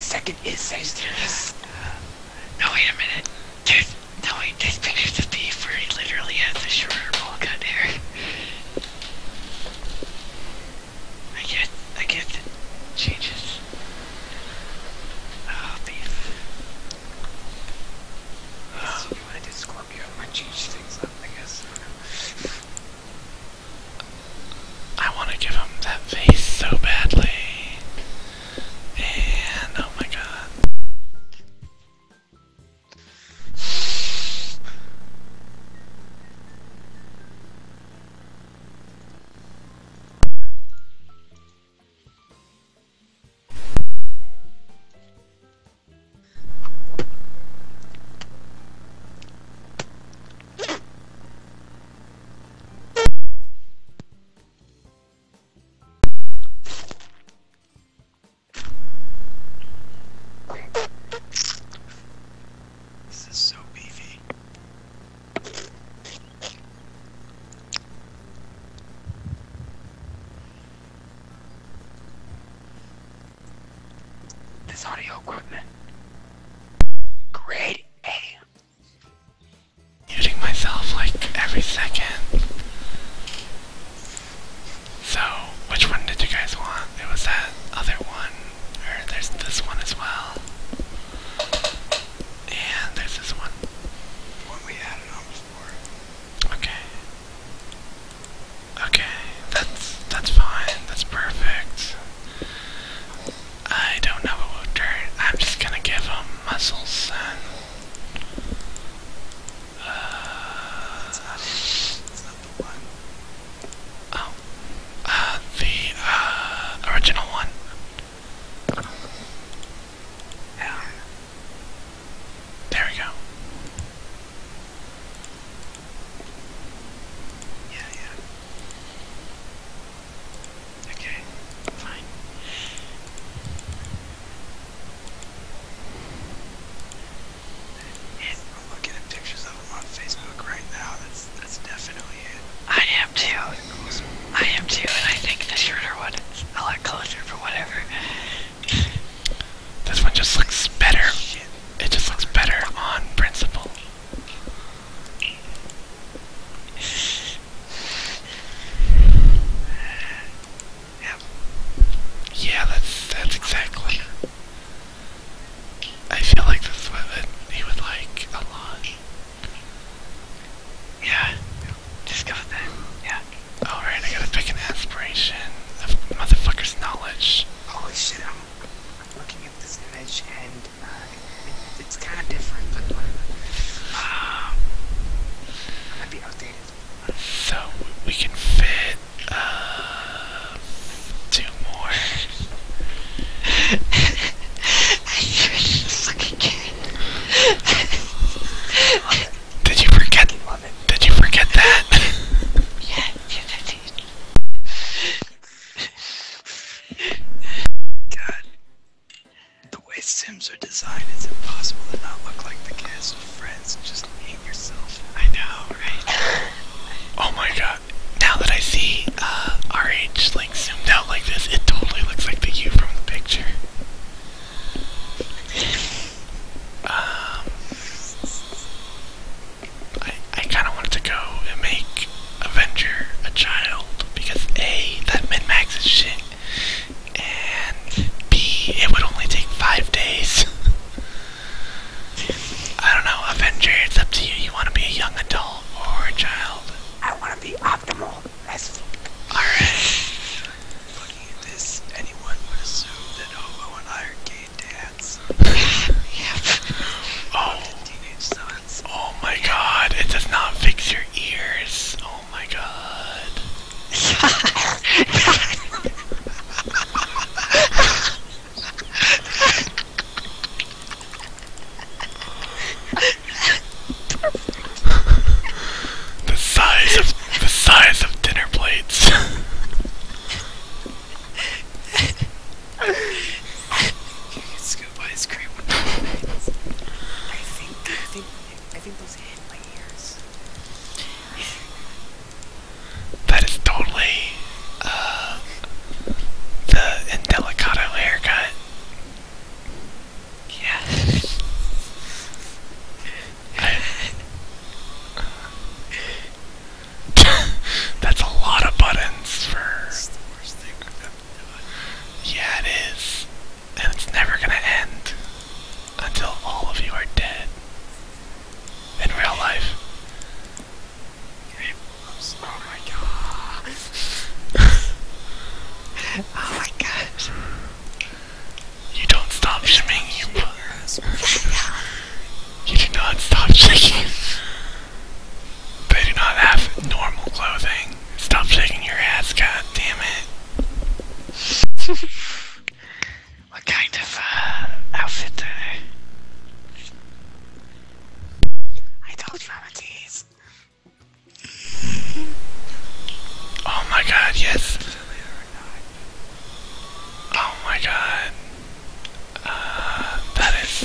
Second is Sagittarius. No, wait a minute. dude. no, wait, This pictures of ah, Beef where he literally has a shorter bowl cut hair. I guess, I guess the changes. Oh, Beef. you want to do Scorpio? I change things up, I guess. I want to give him that face so badly. And oh my god this audio equipment. Grade A muting myself like every second. So, which one did you guys want? It was that other one, or there's this one as well. And there's this one. One we added on before. Okay. Okay, that's that's fine. That's perfect. I don't know what will do. I'm just gonna give him muscles uh, uh, the, uh, original one. Yeah. There we go. Yeah, yeah. Okay, fine. I'm looking at pictures of him on Facebook right now. That's that's definitely it. I am too. I am too, and I think the shorter one is a lot closer for whatever. This one just looks better. It just looks better on principle. Yep. Yeah, that's that's exactly. I feel like this woman, he would like a lot. Yeah. Just that. Yeah. Alright, I gotta pick an aspiration of motherfucker's knowledge. Holy shit, looking at this image and uh, it's kind of different, uh, um, I might be outdated. So we can fit uh, two more. I just looking good. Did you forget? Did you forget that? yes I did. God. The way Sims are designed, it's impossible to not look like the cast of Friends just hate yourself. I know, right? oh my god. Now that I see uh, RH like zoomed out like this, it totally looks like the U from the picture. Um, I I kind of wanted to go and make Avenger a child because A, that mid max is shit, and B, it would only take five days. I don't know, Avenger, it's up to you. You want to be a young adult or a child? I want to be optimal. alright. Looking at this, anyone would assume that Hobo and I are gay dads. Oh. Oh my god, it does not fix your ears. Oh my god. the size of the size of dinner plates. you can scoop ice cream I think, I think, I think those hit my ears. That is totally uh, the Indelicato haircut. Yeah. That's a lot of buttons for. Yeah, it is. And it's never gonna end until all of you are dead. In real life. Oh my god. oh my gosh. You don't stop shimming, you You do not stop shaking. They do not have normal clothing. Stop shaking your ass, god damn it. what kind of uh, outfit are I told you tease. Oh my god, yes. Oh my god. Uh, that is.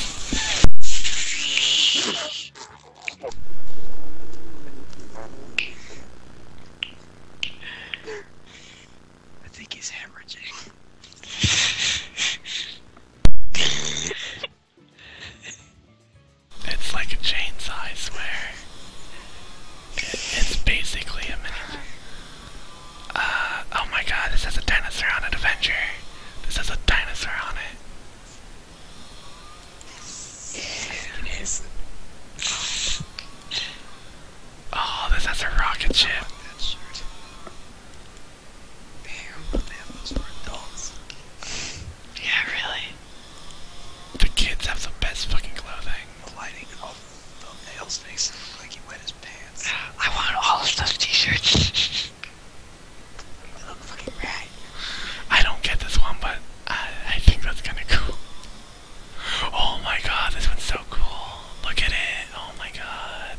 I think he's hemorrhaging. it's like a chainsaw, I swear. it's basically a mini. Uh, oh my god, this has a dinosaur on it, Avenger. This has a dinosaur on it it is. Oh, this has a rocket ship. Yeah, really. The kids have the best fucking clothing. The lighting of the nails makes like he wet his pants. I want all of those t-shirts. You look fucking rat. I don't get this one, but I, I think that's kind of cool. Oh my god, this one's so cool. Look at it. Oh my god.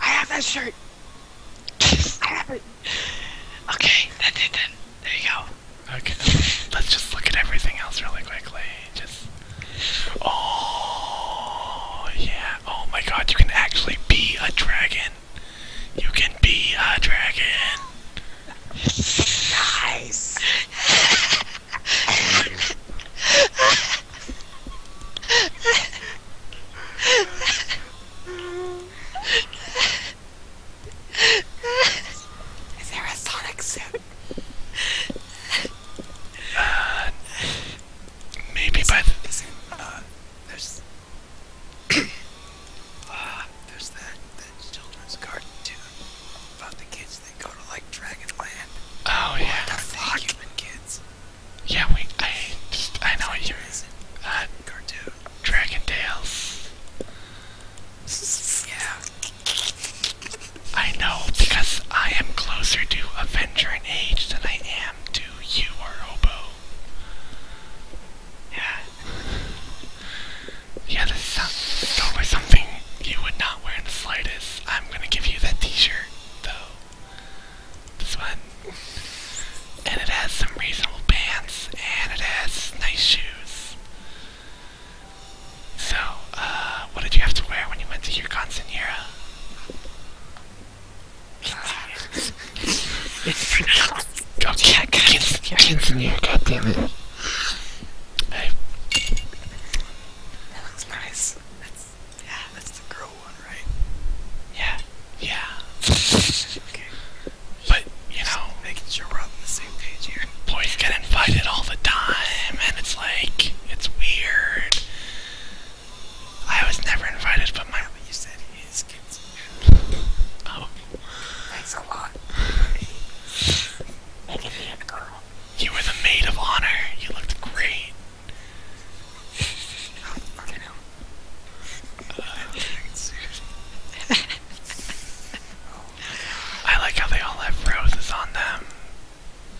I have that shirt. I have it. Okay, that's it then. There you go. Okay, let's just look at everything else really quickly. Oh yeah. Oh my god, you can actually be a dragon. You can be a dragon. Nice. Is there a Sonic suit? Uh, maybe by the. is uh, there's. uh, there's that, that children's cartoon about the kids that go to, like, Dragonland. Oh, yeah. The fuck? human kids. Yeah, we. I. I know what you are Uh, cartoon. Dragon Tales. Yeah. I know, because I am closer to Avenger in age than I am to you or Oboe. Yeah. Yeah, this sounds like something you would not wear in the slightest. I'm gonna give you that t-shirt, though. This one. And it has some reasonable pants, and it has nice shoes. So, uh, what did you have to wear when you went to your Constanera? God, yeah, continue, God damn it. Hey. That looks nice. That's yeah, that's the girl one, right? Yeah. Yeah. okay. But you know Boys get invited all the time and it's like it's weird. I was never invited, but my. Yeah, you said his kids. are oh. Thanks a lot. Making me a girl. You were the maid of honor. You looked great. okay, no. uh, I like how they all have roses on them.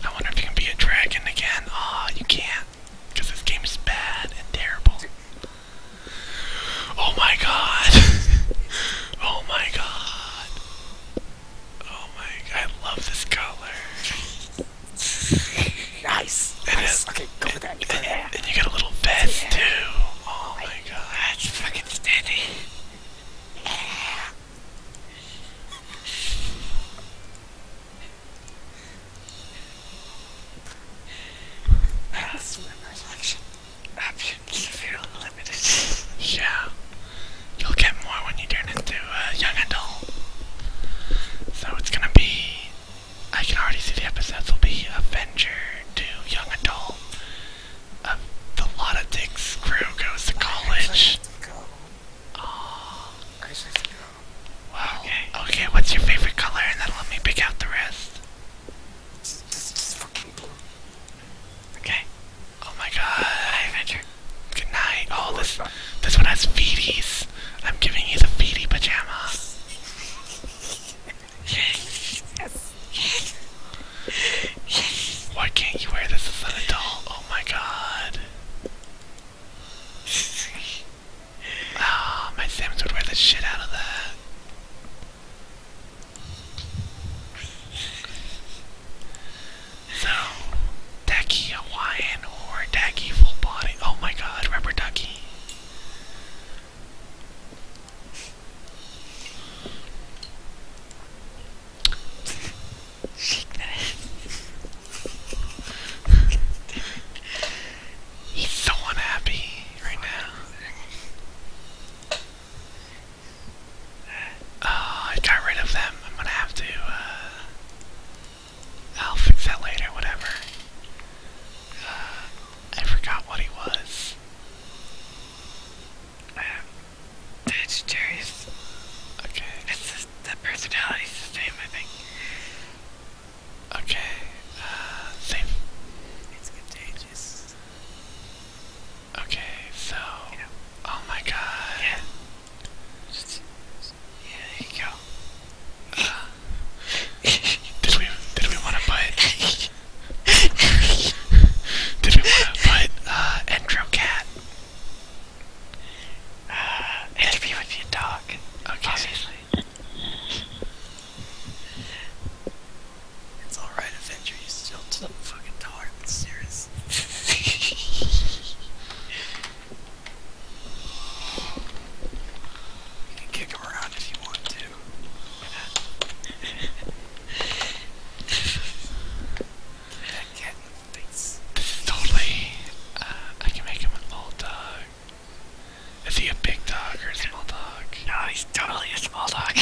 I wonder if you can be a dragon again. Ah, oh, you can't. Because this game is bad and terrible. Oh my god. oh my god. Oh my god. I love this color. nice. It nice. Is, okay, go it, with that. It, yeah. And you got a little vest yeah. too. Oh my god. That's fucking steady. Yeah options feel limited. yeah. You'll get more when you turn into a young adult. So it's gonna be. I can already see the episodes will be Avenger to Young Adult. the lot of Dick's crew goes to college. Christmas Carol. Wow. Okay. Okay, what's your favorite color? And then let me pick out the rest. Okay. Oh my god. Hi, Adventure. Good night. Oh, this this one has feeties. I'm giving you the feetie pajama. yes. Yes. Yes. Why can't you wear this as an adult? Oh my god. Ah, my Sims would wear the shit out of that. So, Ducky Hawaiian or Ducky full body. Oh my god, rubber ducky. He's so unhappy right now. Oh, I got rid of them. I'm gonna have to, I'll uh, fix that later, whatever. Uh, I forgot what he was. That's Okay. It's just the personality. the same, I think. Okay. Uh, same. It's contagious. Okay, so. Oh my god. Yeah. yeah, there you go. Uh, did we did we want to put? did we want to put uh, Endro uh, it'll be with your dog, okay. obviously. It's alright, Avenger, you still took the fucking dog, it's serious. you can kick him around if you want to. Totally. Uh, I can make him a little dog. Is he a big dog or a small dog? No, he's totally a small dog.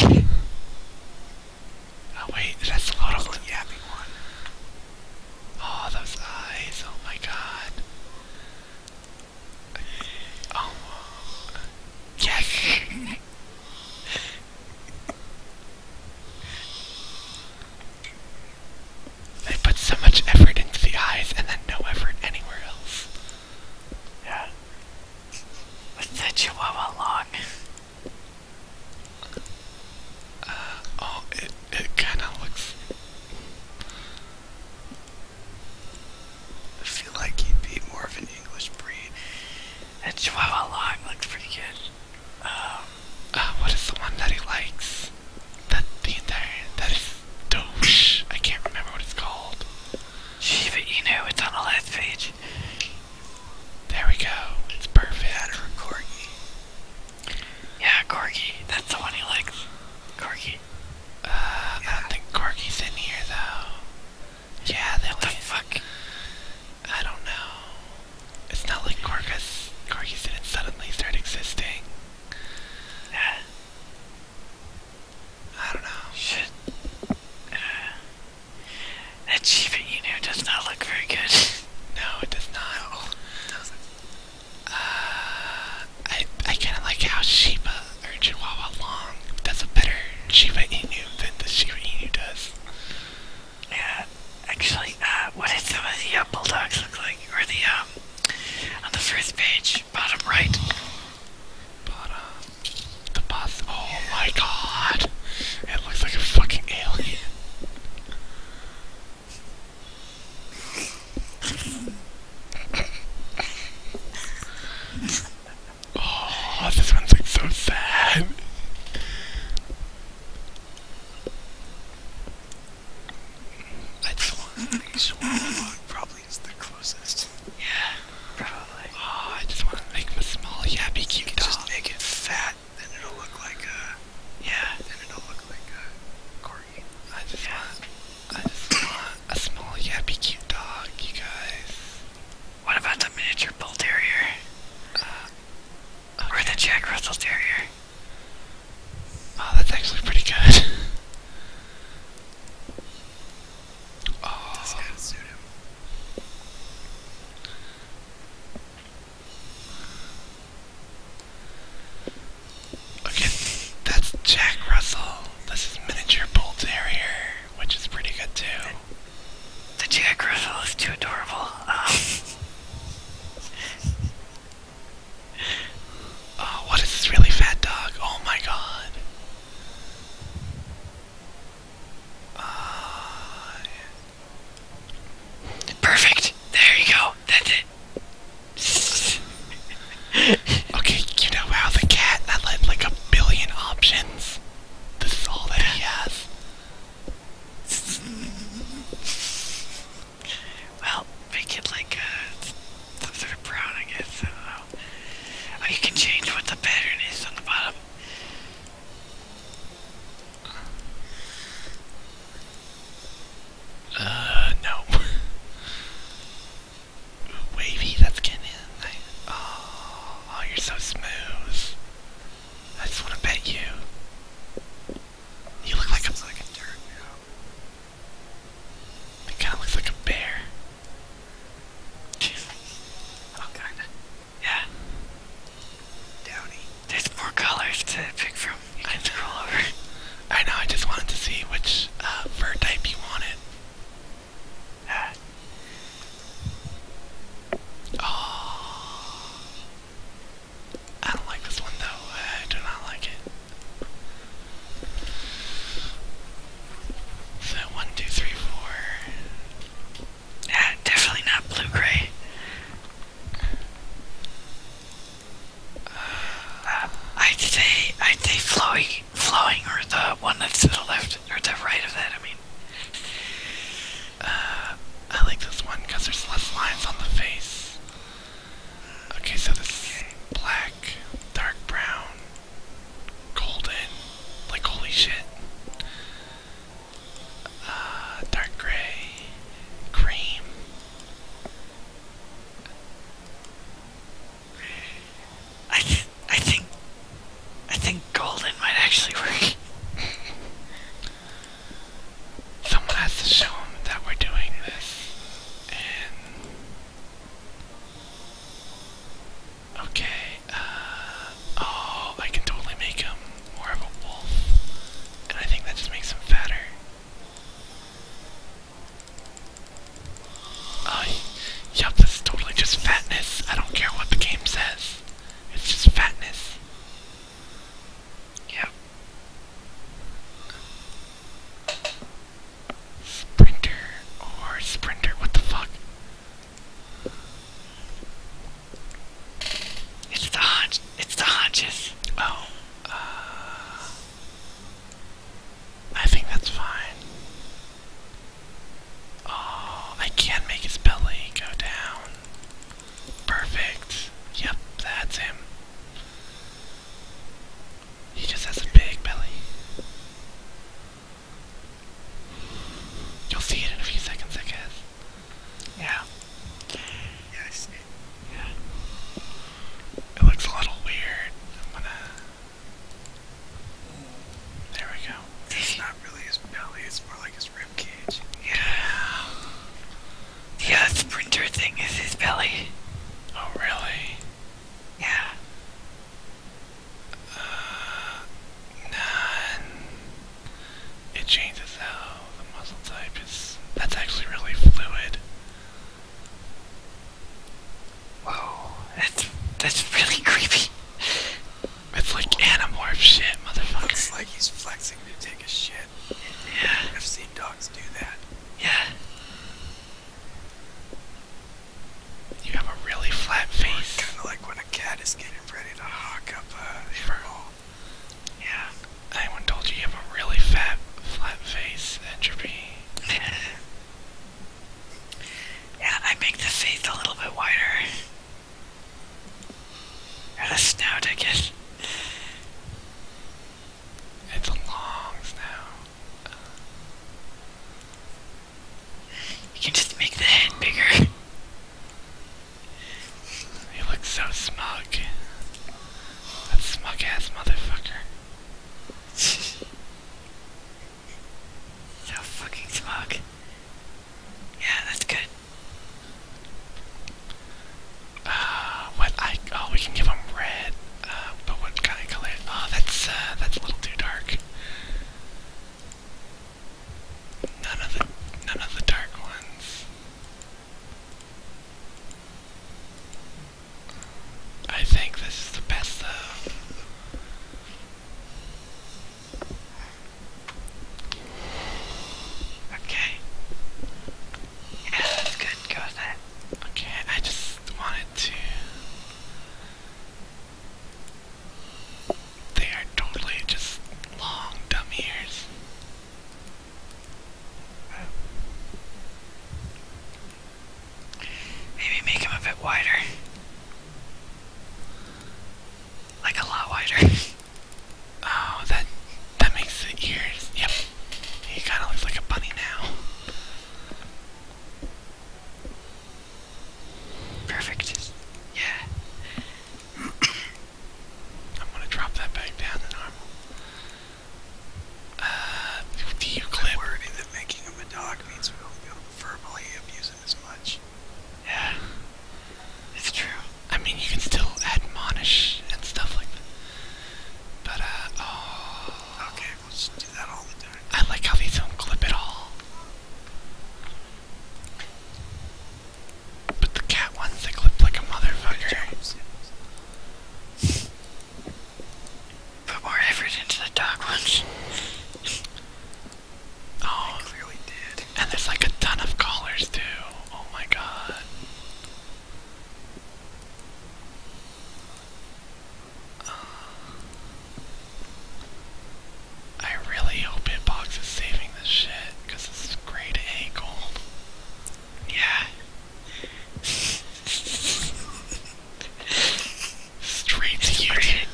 oh wait, that's a lot of yappy one. Oh, those eyes! Oh my god. Oh. Yes. They put so much effort into the eyes and then no effort anywhere else. Yeah. What's the Chihuahua long? Uh, oh, it, it kinda looks... I feel like he'd be more of an English breed. That Chihuahua long looks pretty good. Um, uh, what is the one that he likes? That the entire that is douche. I can't remember what it's called. you know It's on the last page. There we go. It's perfect. That or Corgi. Yeah, Corgi. That's the one he likes. Corgi. Uh, I don't think Corgi's in here though. Yeah, that the fuck? I don't know. It's not like Gorgas, Gorgas didn't suddenly start existing. I don't know. Shit. that uh, achievement you does not look very good. no, it does not. Uh, I I kind of like how Shiba or Chihuahua Long does a better Shiba Inu than the Shiba Inu does. Yeah, actually, uh, what did some of the uh, bulldogs look like? Or the, um, on the first page, bottom right? Bottom. The boss. Oh my god! It looks like a fucking alien. oh, this one's like so sad. I'd swan probably is the closest. Yeah, probably. Oh, I just want to make him a small, yappy, cute you can dog. Just make it fat, then it'll look like a. Yeah. Then it'll look like a corgi. I just yeah. want. I just want a small, yappy, cute dog, you guys. What about the miniature bull terrier? Uh, or the Jack Russell Terrier. Oh, that's actually pretty good. oh. Okay, that's Jack Russell. This is miniature bull terrier, which is pretty good too. The Jack Russell is too adorable. Um, oh, what is this really fat dog? Oh my god. Uh, yeah. Perfect. There you go. That's it. okay, you know how the cat that had like a billion options. This is all that he has well, make it like some sort of brown, I guess. I don't know. Oh, you can change what the pattern is on the bottom. Uh, no. Wavy, that's getting in. Oh, oh, you're so smooth. I just want to pet you. You look like a fucking It kind of looks like a bear. oh, kinda. Yeah. Downy. There's more colors to pick from. You can scroll I know. I just wanted to see which uh, fur type you wanted. Yeah. Oh. I don't like this one though. I do not like it. So one, two, three, four. Yeah, definitely not blue gray. Uh, I'd say I'd say flowing, flowing, or the one that's to the left or the right of that. I mean, uh, I like this one because there's less lines on the face. Okay, so this is black, dark brown, golden, like holy shit. Uh, dark gray, cream. I I think I think golden might actually work. someone has to show them that we're doing this. And okay, uh, oh, I can totally make him more of a wolf, and I think that just makes him fatter. yup, this is totally just fatness. I don't care what the game says. It's just fatness. Yeah. Sprinter or sprinter, what the fuck? It's the hunch it's the hunches. Oh. Uh I think that's fine. Oh, I can make his belly go down. Perfect. Yep, that's him. He just has a big belly. You'll see it in a few seconds, I guess. Yeah. Yeah, Yeah. It looks a little weird. I'm gonna. There we go. It's not really his belly, it's more like his rib ribcage. Yeah. Yeah, sprinter thing is his belly. Oh, really? Yeah. Uh, none. It changes how the muscle type is. That's actually really fluid. Whoa, that's that's really creepy. It's like Animorph shit, motherfucker. It's like he's flexing to yeah. I've seen dogs do that. Yeah. You have a really flat face. Kind of like when a cat is getting ready to hawk up a animal. Yeah. Anyone told you you have a really fat, flat face, entropy? yeah, I make the face a little bit wider. Got a snow ticket. It's a long snow. you can just make the head bigger. he looks so smug. That smug ass motherfucker. so fucking smug. Yeah, that's good. Uh, what I oh we can give them red. Uh, but what kind of color? Oh, that's uh, that's a little too dark. None of the none of the dark ones. I think this is the best though. Okay. Yeah, that's good. Go with that. Okay, I just wanted to. They are totally just long, dumb ears. Maybe make them a bit wider. Like a lot wider. Oh, that that makes the ears. Yep, he kind of looks like a bunny now. Perfect. Yeah. I'm gonna drop that back down in normal. Uh, do you clip? worried that making him a dog means we won't be able to as much. Yeah. It's true. I mean, you can still admonish and stuff like that. But, uh, oh. Okay, will just do that all the time. I like how these don't clip at all. But the cat ones, they clip like a motherfucker. Put more effort into the dog ones. oh, clearly did. And there's like a ton of callers too. Oh my god. Uh, I really hope Hitbox is saving this shit, because it's grade A gold. Yeah. Straight to YouTube.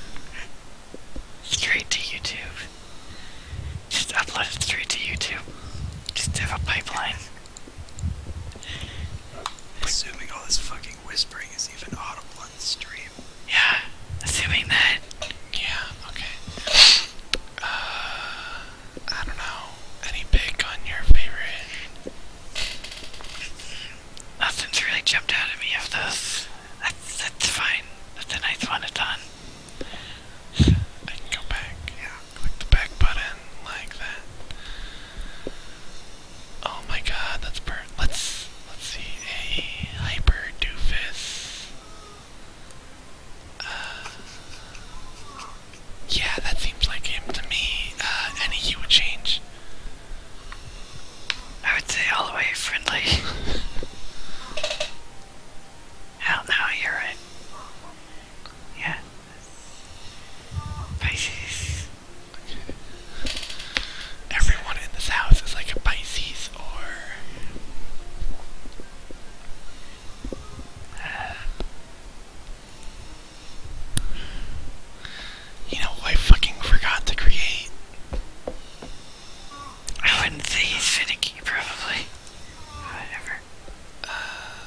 Straight to YouTube. Just upload it straight to YouTube. Just have a pipeline. Assuming all this fucking whispering is even audible on stream. Yeah, assuming that. Yeah, okay. Uh, I don't know. Any pick on your favorite? Nothing's really jumped out at me of those. That's, that's fine. That's a nice one, it's on. I can go back, yeah, click the back button like that. Oh my god, that's per let's let's see a hyper doofus. Uh, yeah, that seems like him to me. Uh, any hue change. I would say all the way friendly. Hell oh, no, you're right. Yeah. Pisces. Everyone in this house is like a Pisces or. Uh, you know, I fucking forgot to create. I wouldn't say finicky, probably. Whatever. Uh,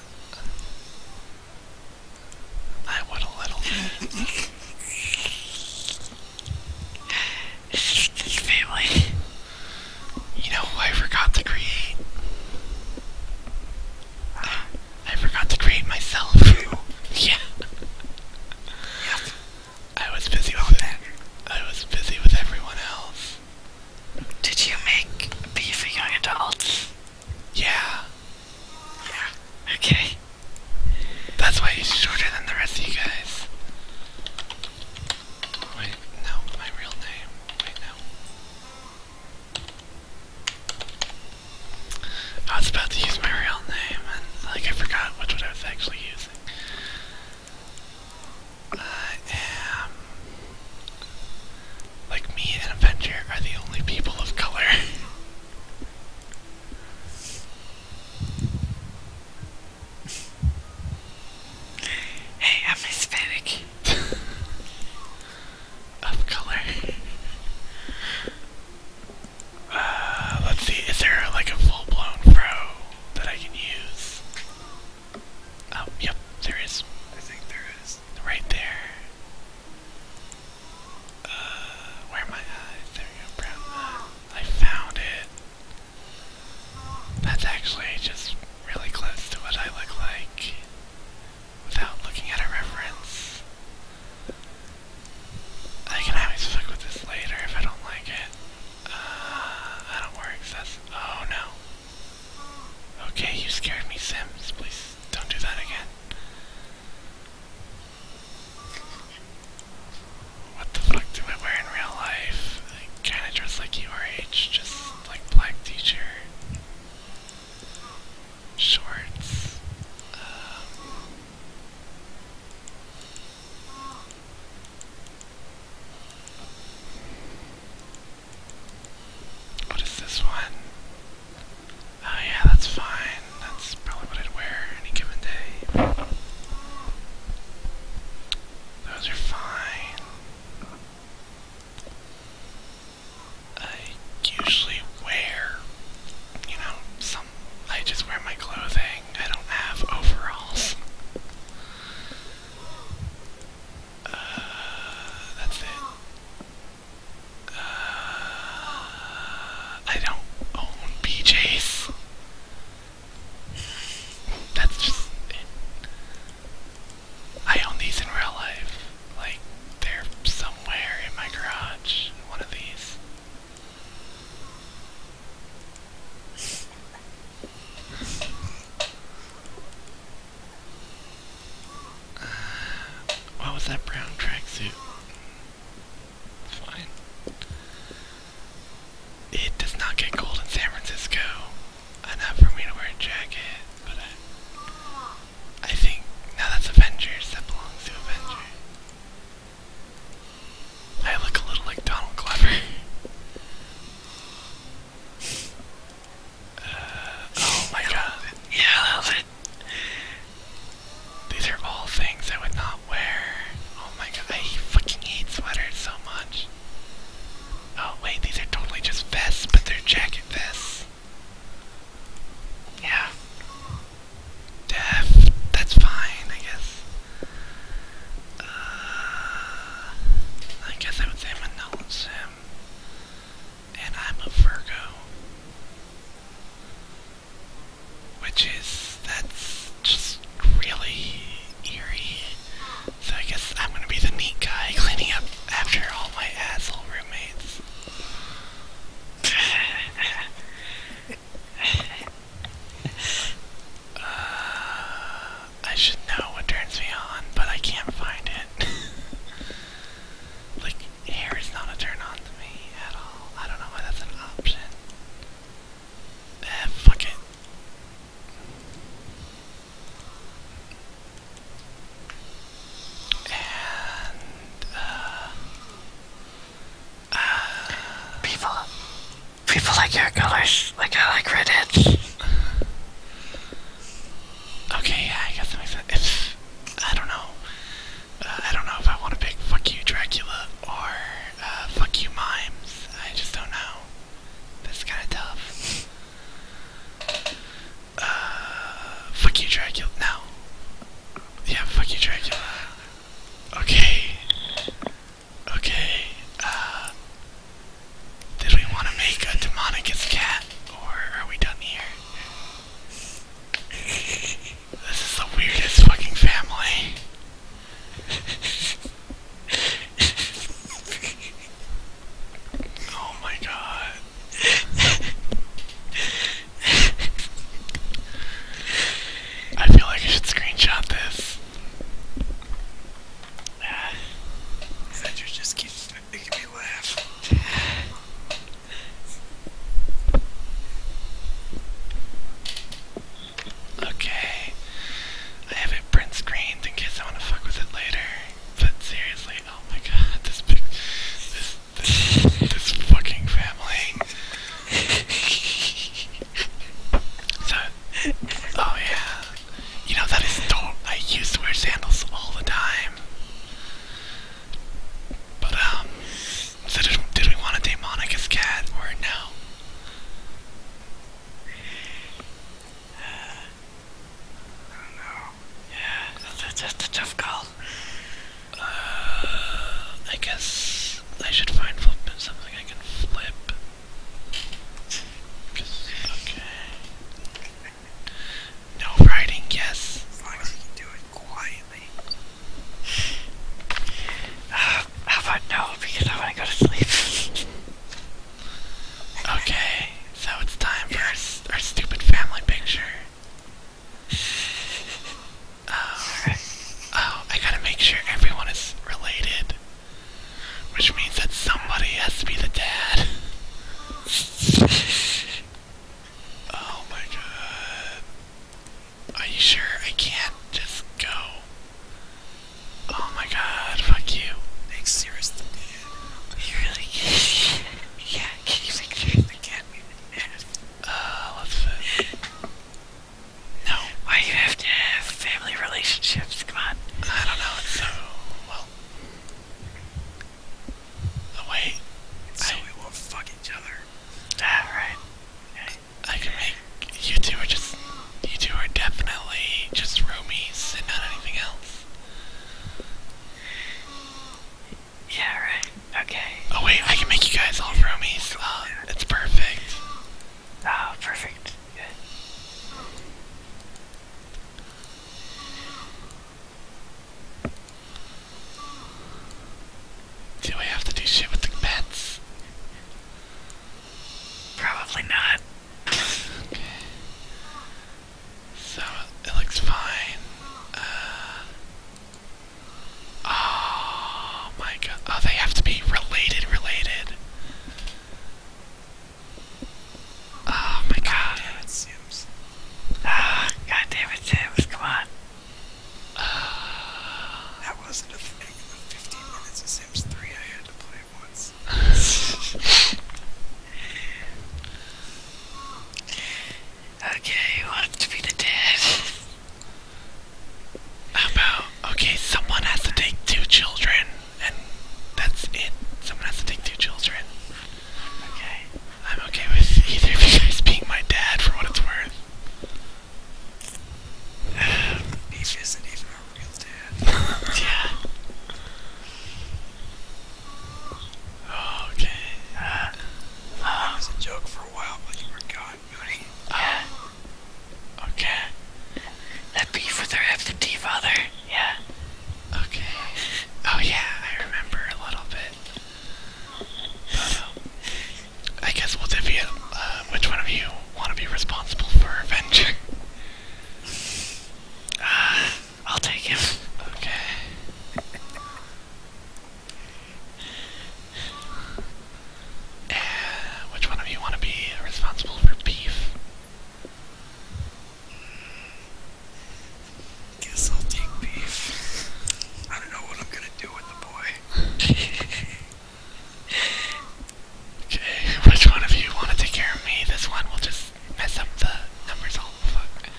I want a little bit. this family. You know I forgot to create? I, forgot to create myself. yeah. Yep. I was busy with it. I was busy with everyone else. Did you make a bee for young adults? Yeah. Yeah. Okay. That's why he's shorter than the rest of you guys. Wait, no, my real name. Wait, no. I was about to use my real name, and like I forgot which one I was actually using. I am. Like me and Avenger are the only people of color. hey, I'm Hispanic. of color. Uh, let's see, is there like a full blown pro that I can use? Oh, yep, there is. I think there is. Right there. Uh, where am I? Ah, there you go, brown. I found it. That's actually just really close to what I look like without looking at a reference. I can always fuck with this later if I don't like it. Uh, I don't worry, that's. Oh no. Okay, you scared me, Sims. Please don't do that again. What the fuck do I wear in real life? kinda dress like URH, just like black t shirt, shorts. Um, what is this one? Oh yeah, that's fine. That's probably what I'd wear any given day. Those are fine. I usually wear, you know, some. I just wear my clothing. I don't have overalls. Uh, that's it. Uh, I don't own PJs. That's just I own these in real life. Like, they're somewhere in my garage. One of these what was that brown tracksuit? Fine. It does not get cold in San Francisco. Enough for me to wear a jacket, but I think now that's Avengers. That belongs to Avengers. I look a little like Donald Glover. Uh, oh my god. Yeah, These are all things I would not wear. Oh my god, I fucking hate sweaters so much. Oh wait, these are totally just vests, but they're jacket vests. Yeah. Def, that's fine, I guess. Uh, I guess I would say am him. And I'm a Virgo. Which is, that's just really eerie. So I guess I'm gonna be the neat guy cleaning up after all my asshole roommates. Uh, I should know what turns me on, but I can't find it. like, hair is not a turn on to me at all. I don't know why that's an option. Eh, fuck it. And, uh, uh, People, People like hair colors, like I like red edge. Okay, yeah, I guess that makes sense. I don't know. Uh, I don't know if I want to pick fuck you Dracula or uh, fuck you Mimes. I just don't know. That's kind of tough. Uh, fuck you Dracula. No. Yeah, fuck you Dracula. Okay. Okay, uh. Did we want to make a Demonicus cat, or are we done here? This is the weirdest fucking family. Oh my god. I feel like I should screenshot this. Sandra just keeps making me laugh. Okay. I have it print screened in case I want to fuck with it later. But seriously, oh my god, this big, this, this, this fucking family. So, oh yeah, you know that is store. I used to wear sandals all the time. But um, did, we want to date cat or no? Uh, I don't know. Yeah, that's, that's, a tough call. Uh, I guess I should find something I can flip. No writing, yes. how about no, because I want to go to sleep. okay, so it's time for our, our stupid family picture. Oh, oh, I gotta make sure everyone is related. Which means that somebody has to be the dad. oh my god. Are you sure I can't just go? Oh my god, fuck you. Make serious You really can't. yeah, can you make serious the cat? Uh, let's no. Why you have to have family relationships? Come on. I don't know. well. Oh wait. So we won't fuck each other. Ah, right. Okay. I can make you two are just you two are definitely just roomies and not anything else. Yeah, right. Okay. Oh wait, I can make you guys all roomies. Oh, it's perfect. Oh, perfect. Do I have to do shit with the pets? Probably not. So it looks fine. Uh, oh my god. Oh, they have to be related, related. Oh my god. God it, Sims. Ah, oh, it, Sims, come on. that wasn't a thing of 15 minutes of Sims 3 I had to play once. okay, who to be the dad? How about, okay, someone has to take two children and that's it. Someone has to take two children. Okay. I'm okay with either of you guys being my dad for what it's worth. Beef isn't even a real dad. yeah. Oh, okay. Uh, was a joke for a while, but you were gone, Okay. That beef with her absentee father. Yeah. Okay. Oh yeah, I remember a little bit. But, um, I guess we'll divvy um, which one of you want to be responsible for her venture? Uh, I'll take him. Okay. which one of you want to be responsible for beef? Guess I'll take beef. I don't know what I'm gonna do with the boy. okay, which one of you wanna take care of me? This one will just mess up the numbers all the fuck.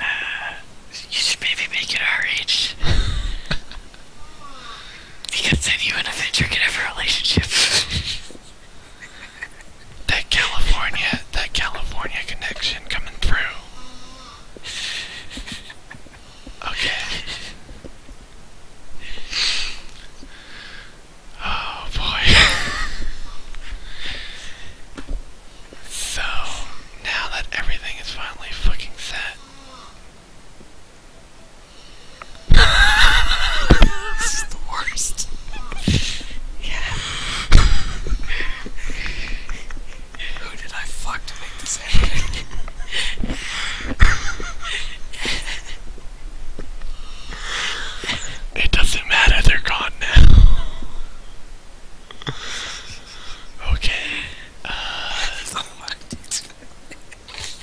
Uh, you should maybe make it our Because then you and Avenger could have relationship. that California, that California connection coming through. Okay. Oh boy. so, now that everything is finally fucking set, this is the worst. yeah. Who did I fuck to make this happen? it doesn't matter, they're gone now. okay. Uh,